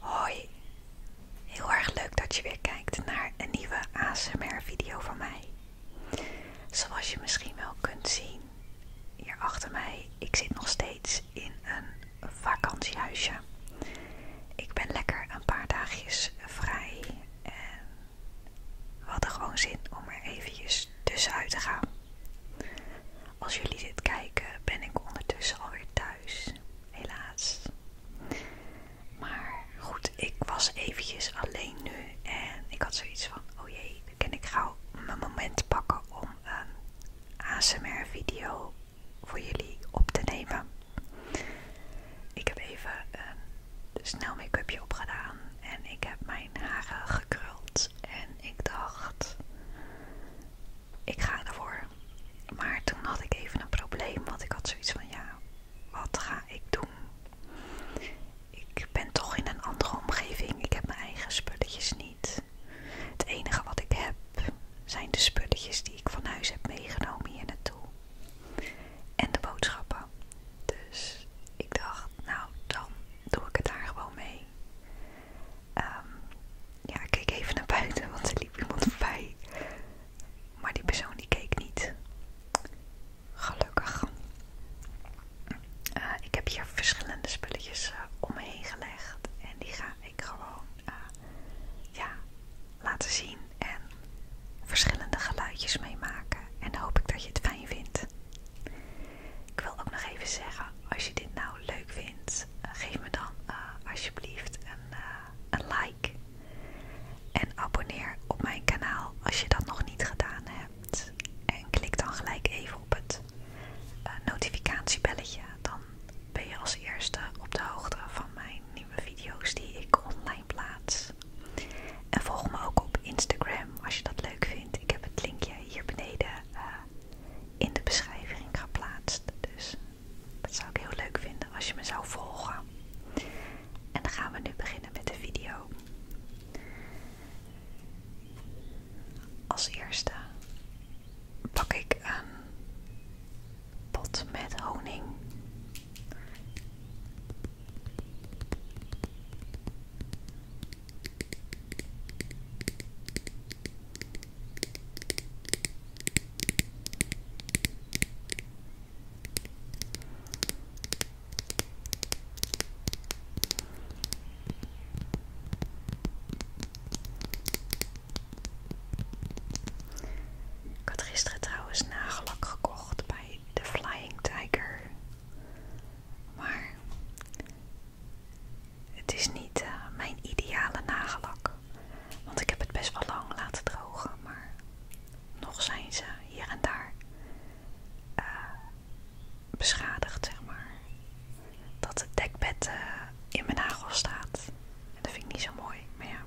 Hoi, heel erg leuk dat je weer kijkt naar een nieuwe ASMR video van mij. Zoals je misschien wel kunt zien, hier achter mij, ik zit nog steeds in een vakantiehuisje. Ik ben lekker een paar dagjes vrij en we hadden gewoon zin om er eventjes tussenuit te gaan. Als jullie dit kijken ben ik ondertussen alweer thuis, helaas. Maar goed, ik was eventjes alleen nu en ik had zoiets van, oh jee, en kan ik gauw mijn moment pakken om een ehm, ASMR video voor jullie op te nemen. Ik heb even een ehm, snel make-upje opgedaan en ik heb mijn haren gekruld en ik dacht, ik ga ervoor. Maar toen had ik even een probleem, want ik had zoiets van ja, wat ga ik doen? Ik ben toch in een andere omgeving. Ik heb mijn eigen spulletjes niet. Het enige wat ik heb zijn de spulletjes die ik van huis heb meegenomen hier naartoe. En de boodschappen. Dus ik dacht, nou dan doe ik het daar gewoon mee. Ehm ja, ik keek even naar buiten, want er liep iemand voorbij. Maar die persoon die keek niet. Gelukkig. Eh, ik heb hier verschillende spulletjes eh, omheen om me heen gelegd. En die ga ik gewoon eh, ja, laten zien. En verschillende geluidjes meemaken. En hoop ik dat je het fijn vindt. Ik wil ook nog even zeggen, als je dit nou leuk vindt, eh, geef me dan eh, alsjeblieft eh, een, like. En abonneer op mijn kanaal als je dat nog niet gedaan hebt. En klik dan gelijk even op het notificatiebelletje. Dan ben je als eerste op de hoogte van mijn nieuwe video's die ik online plaats. En volg me ook op Instagram als je dat leuk vindt. Ik heb het linkje hier beneden in de beschrijving geplaatst. Dus dat zou ik heel leuk vinden als je me zou volgen. En dan gaan we nu beginnen met de video. Als eerste pak ik een pot met honing. Ik had gisteren trouwens nagellak gekocht bij de Flying Tiger. Maar het is niet eh, mijn ideale nagellak, want ik heb het best wel lang laten drogen, maar nog zijn ze hier en daar eh, beschadigd, zeg maar. Dat het dekbed eh, in mijn nagel staat. En dat vind ik niet zo mooi, maar ja.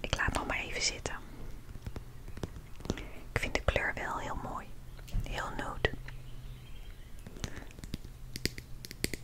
Ik laat het nog maar even zitten. Ik vind de kleur wel heel mooi. Heel nude.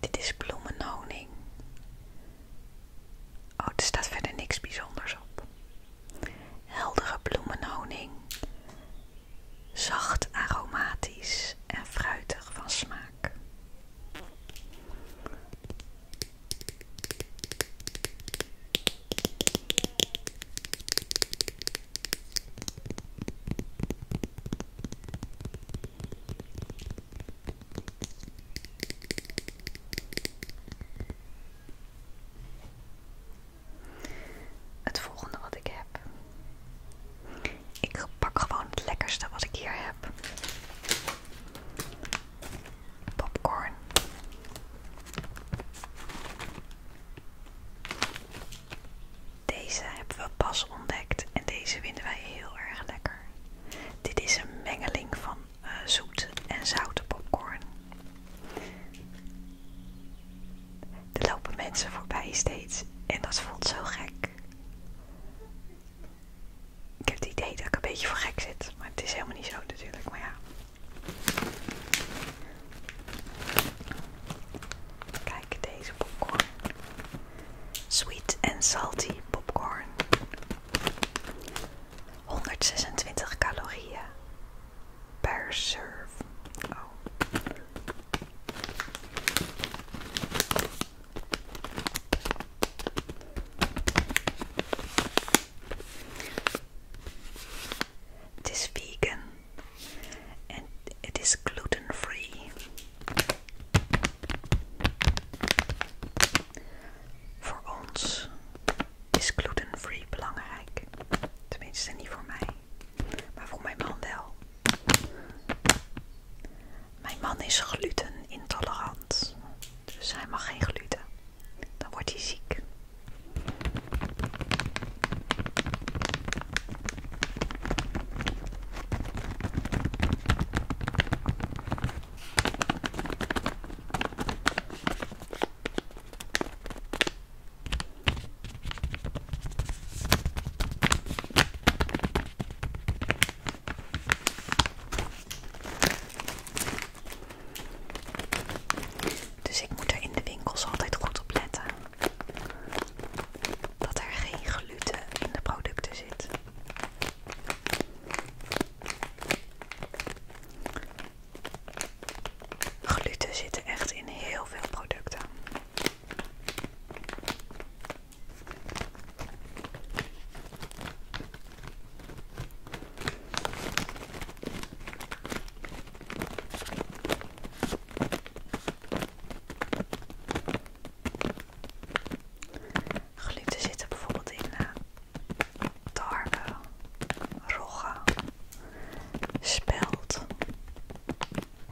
Dit is bloemenhoning. Oh, er staat verder niks bijzonders op. Heldere bloemenoning, Zacht aromatisch en fruitig van smaak. Het volgende wat ik heb. Ik pak gewoon het lekkerste wat ik hier heb. Popcorn. Deze hebben we pas ontdekt en deze vinden wij heel erg lekker. Dit is een mengeling van zoete eh, zoet en zoute popcorn. Er lopen mensen voorbij steeds en dat voelt zo gek. Ik heb het idee dat ik een beetje voor gek zit. Maar het is helemaal niet zo natuurlijk. Maar ja. Kijk deze popcorn. Sweet and salty popcorn. 126 calorieën per serve. Oh. Het is vegan en het is glutenvrij. Voor ons is glutenvrij belangrijk. Tenminste, niet voor mij, maar voor mijn man wel. Mijn man is glutenintolerant, dus hij mag geen gluten dan wordt hij ziek. Dus ik moet er in de winkels altijd goed op letten dat er geen gluten in de producten zit. Gluten zitten echt in heel veel producten. Gluten zitten bijvoorbeeld in uh, tarwe, rogge, spelt,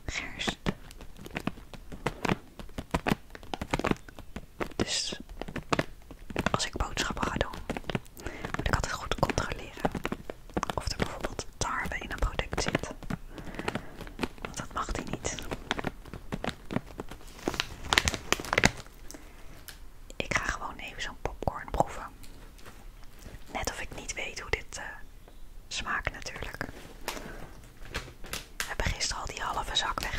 gerst. Dus als ik boodschappen ga doen, moet ik altijd goed controleren of er bijvoorbeeld tarwe in een product zit. Want dat mag die niet. Ik ga gewoon even zo'n popcorn proeven. Net of ik niet weet hoe dit eh, smaakt natuurlijk. We hebben gisteren al die halve zak weg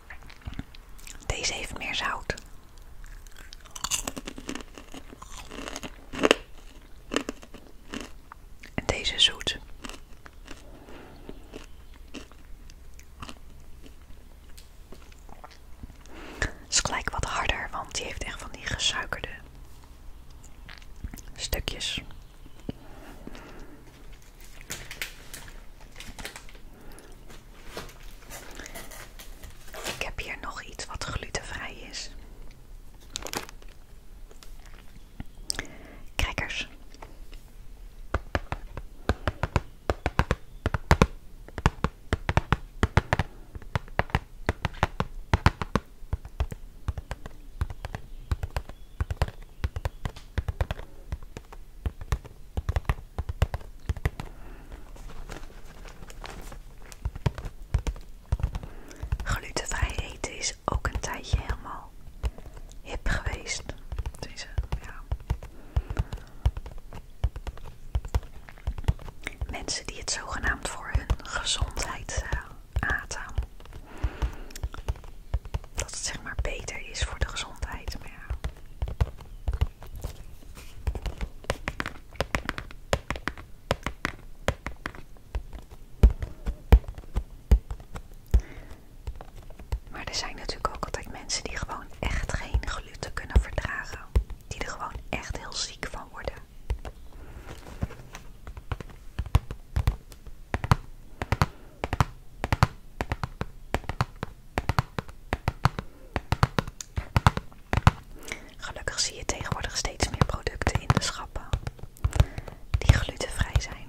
Deze heeft meer zout. En deze zoet. is gelijk wat harder, want die heeft echt van die gesuikerde stukjes. Ik heb hier nog iets wat glutenvrij is. Crackers. Glutenvrij eten is ook een tijdje helemaal hip geweest. Mensen die het zogenaamd voor hun gezondheid eh, aten. Dat het zeg maar beter is voor de gezondheid. Maar er zijn natuurlijk ook altijd mensen die gewoon echt geen gluten kunnen verdragen. Die er gewoon echt heel ziek van worden. Gelukkig zie je tegenwoordig steeds meer producten in de schappen die glutenvrij zijn.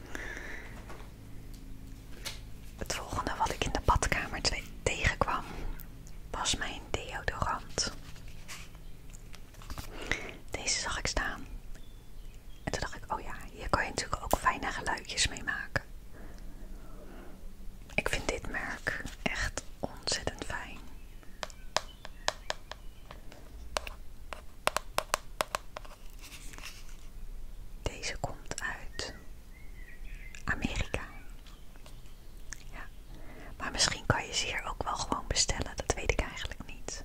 Het volgende wat ik in de badkamer tegenkwam was mijn deodorant. Deze zag ik staan. En toen dacht ik, oh ja, hier kan je natuurlijk ook fijne geluidjes mee maken. Ik vind dit merk echt ontzettend fijn. Deze komt uit Amerika. Ja. Maar misschien kan je ze hier ook wel gewoon bestellen, dat weet ik eigenlijk niet.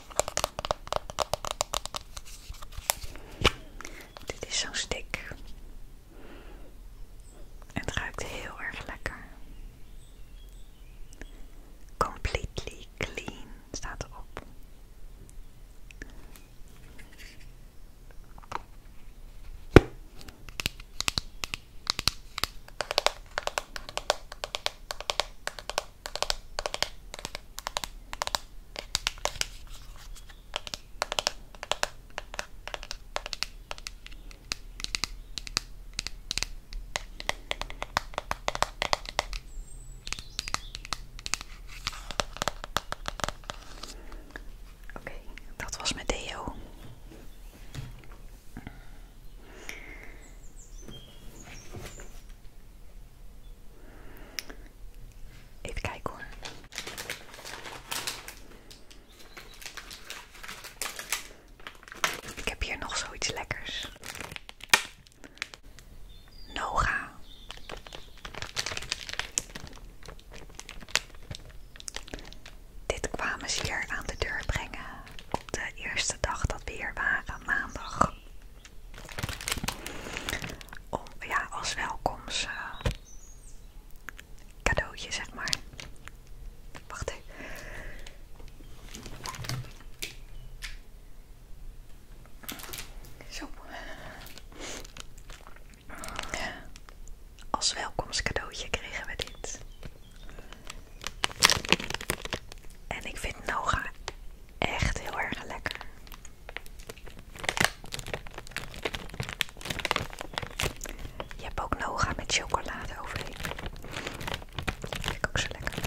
Dit is zo'n stick. Het ruikt heel erg lekker. Completely clean staat erop. Oké, dat was met deo. Even kijken Ik heb hier nog zoiets lekkers. Noga. Dit kwamen ze hier aan de deur brengen op de eerste dag dat we hier waren, maandag. Om, ja, als welkoms eh, zeg maar. Wacht even. Zo. Als welkomstcadeautje kregen we dit. En ik vind Noga Echt heel erg lekker. Je hebt ook nog Noga met chocolade overheen. Dat ook zo lekker.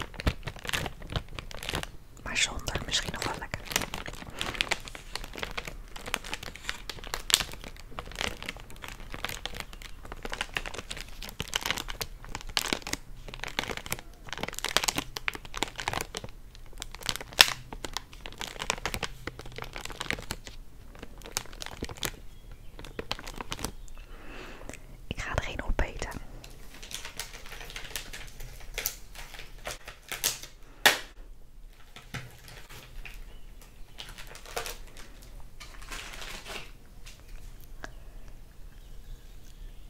Maar zonder misschien nog wel lekker. Ik ga er geen eten.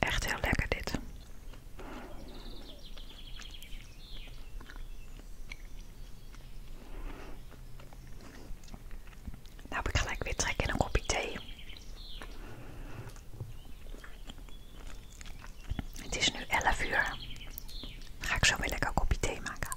Echt heel lekker dit. Nou heb ik gelijk weer trek in een kopje thee. Het is nu 11 uur. ga ik zo weer lekker een kopje thee maken.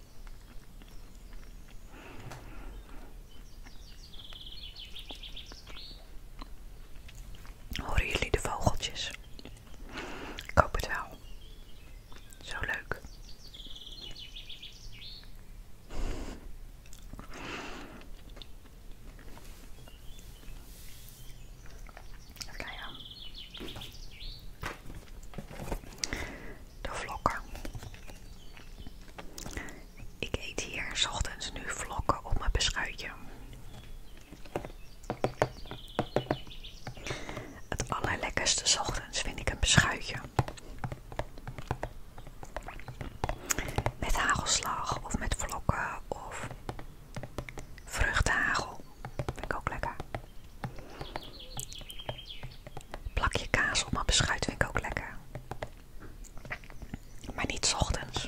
Horen jullie de vogeltjes? Ik hoop het wel. Zo leuk. Even kijken de vlokken. Ik eet hier 's ochtends nu vlokken op mijn beschuitje. Het allerlekkerste ochtends vind ik een beschuitje. Met hagelslag of met vlokken of vruchthagel. Vind ik ook lekker. Plakje kaas op mijn beschuit vind ik ook lekker. Maar niet s ochtends.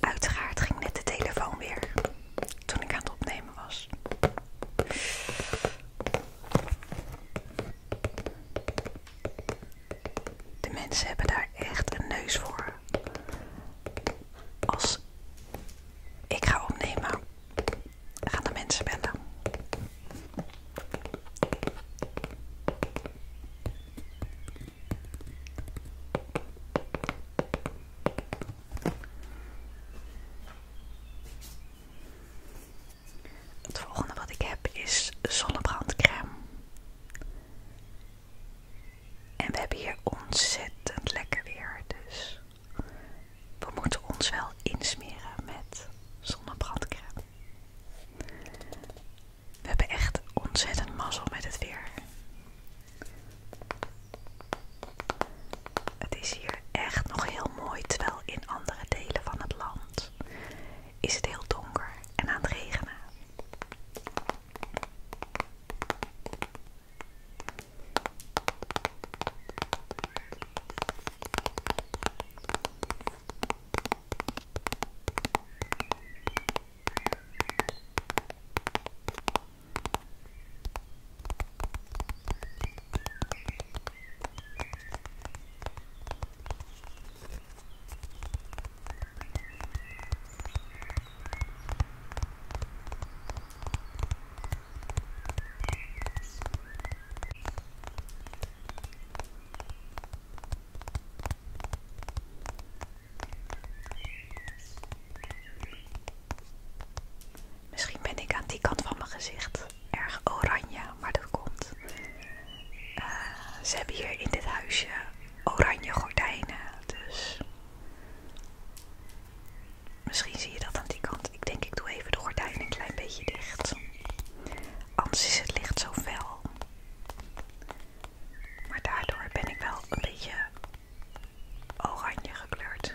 Uiteraard ging net de telefoon weer toen ik aan het opnemen was. De mensen hebben daar echt een neus voor. Als ik ga opnemen, gaan de mensen bellen. Het volgende wat ik heb is zonnebrandcrème. En we hebben hier ontzettend lekker weer, dus we moeten ons wel insmeren met zonnebrandcrème. We hebben echt ontzettend mazzel met het weer. Het is hier echt nog heel mooi, terwijl in andere delen van het land is het heel donker en aan het regenen. Misschien ben ik aan die kant van mijn gezicht erg oranje, maar dat komt eh, ze hebben hier in dit huisje oranje gordijnen, dus misschien zie je dat aan die kant. Ik denk ik doe even de gordijnen een klein beetje dicht, anders is het licht zo fel. Maar daardoor ben ik wel een beetje oranje gekleurd.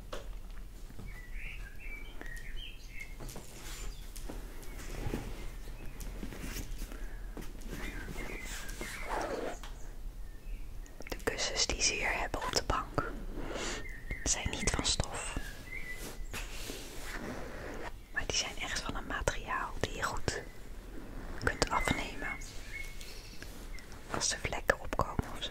De kussens die ze hier hebben op de bank zijn niet van stof. Maar die zijn echt van een materiaal die je goed kunt afnemen. Als de vlekken opkomen of zo.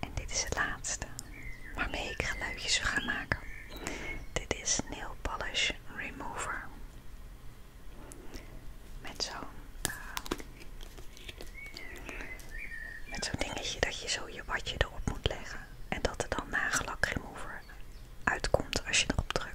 En dit is het laatste waarmee ik geluidjes ga maken. Dit is Nail Polish Remover. Met zo'n eh, met zo'n dingetje dat je zo je watje erop moet leggen. En dat er dan nagellak remover uitkomt als je erop drukt.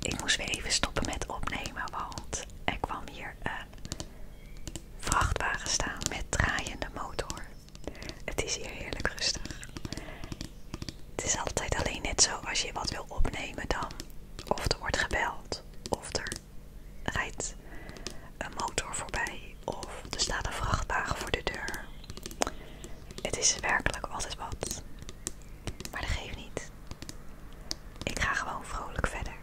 Ik moest weer even stoppen met opnemen, want er kwam hier een vrachtwagen staan met draaiende motor. Het is hier heerlijk rustig. Het is altijd alleen net zo als je wat wil opnemen dan. Of er wordt gebeld, of er rijdt een motor voorbij of er staat een vrachtwagen voor de deur. Het is werkelijk altijd wat. Maar dat geeft niet. Ik ga gewoon vrolijk verder.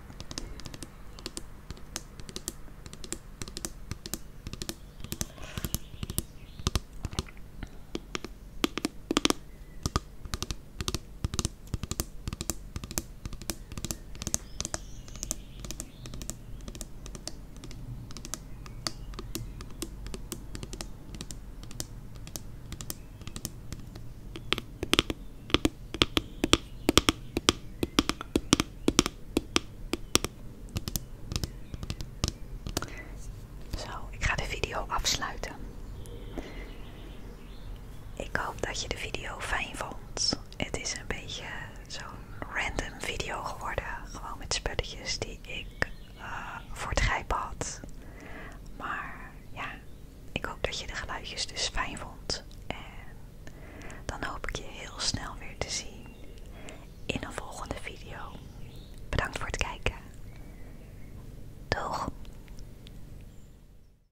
Zo, ik ga de video afsluiten. Ik hoop dat je de video fijn vond. Het is een beetje zo'n random video geworden. Gewoon met spulletjes die ik eh, voor het grijpen had. Maar ja, ik hoop dat je de geluidjes dus fijn vond. En dan hoop ik je heel snel weer te zien in een volgende video. Bedankt voor het kijken. Doeg!